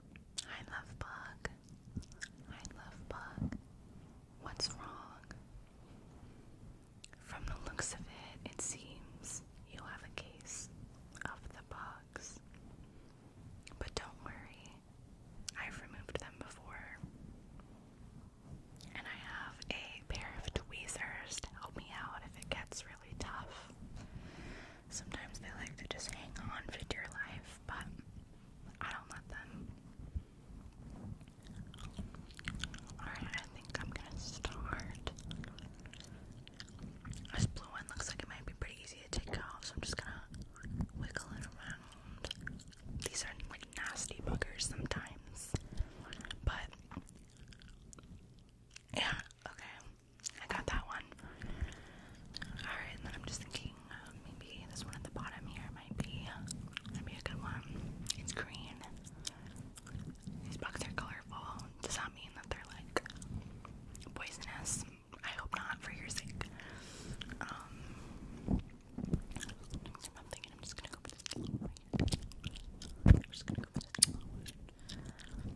I love bugs. I love bugs. What's wrong? From the looks of it, it seems you have a case of the bugs. But don't worry, I've removed them before. And I have a pair of tweezers to help me out if it gets really tough. Sometimes they like to just hang on for dear life, but I don't let them. Alright, I think I'm gonna start. This blue one looks like it might be pretty easy to take off, so I'm just gonna wiggle it around. These are like nasty boogers sometimes, but yeah, Okay, I got that one. Alright, and then I'm just thinking uh, maybe this one at the bottom here might be, a good one. It's green. These bugs are colorful. Does that mean that they're like poisonous? I hope not, for your sake. Um,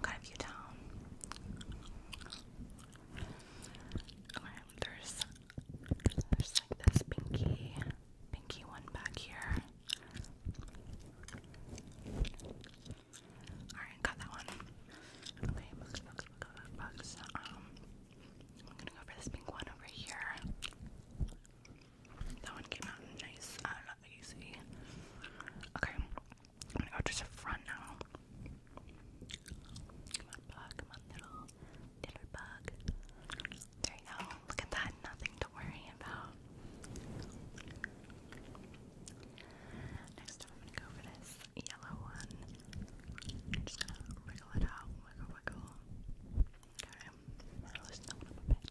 got a view down. Okay, there's there's like this pinky pinky one back here. Alright, got that one. Okay, Um I'm gonna go for this pink one over here. That one came out nice and uh, easy. Okay, I'm gonna go just the front now. Come on, bug. Come on, little, little bug. There you go. Look at that. Nothing to worry about. Next I'm gonna go for this yellow one. just gonna wiggle it out. Wiggle, wiggle. Okay. I'm bit.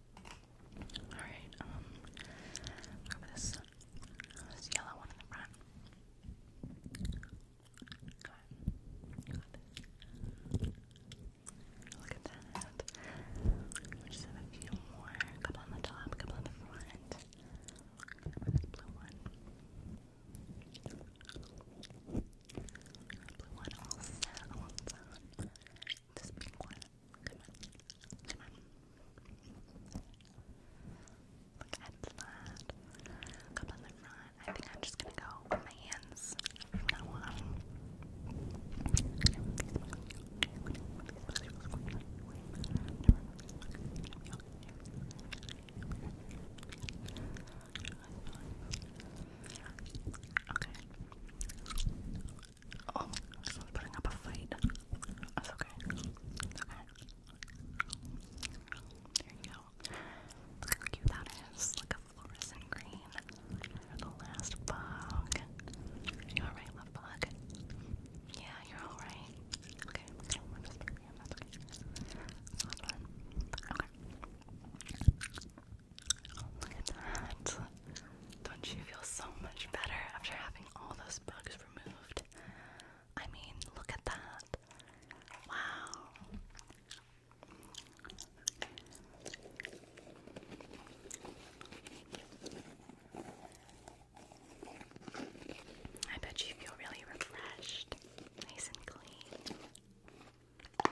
Alright, um, this, yellow one in the front. Look at that. We just have a few more. A couple on the top, a couple on the front. Go this blue one blue one This pink one. Come on. Come on. Look at that. Cup on I think I'm just gonna go my hands from now on. Okay. Oh, someone's putting a fight. That's okay. okay. There you go. Look how cute that is. Like a fluorescent green. the last bug. You alright, love bug? Yeah, you're alright. Okay look at that. Don't you feel so much better after having all those bugs removed? I mean, look at that. Wow. I bet you feel really refreshed, nice and clean. I'm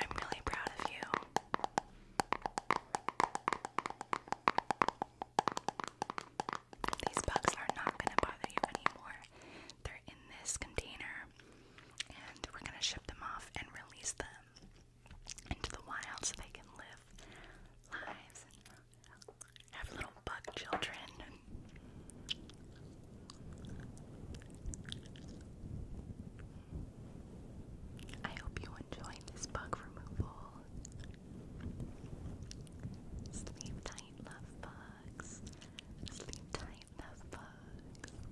really proud of you. These bugs are not going to bother you anymore. They're in this container, and we're going to ship them off and release them into the wild so they can live lives have little bug children. I hope you enjoyed this bug removal. Sleep tight, love bugs. Sleep tight, love bugs.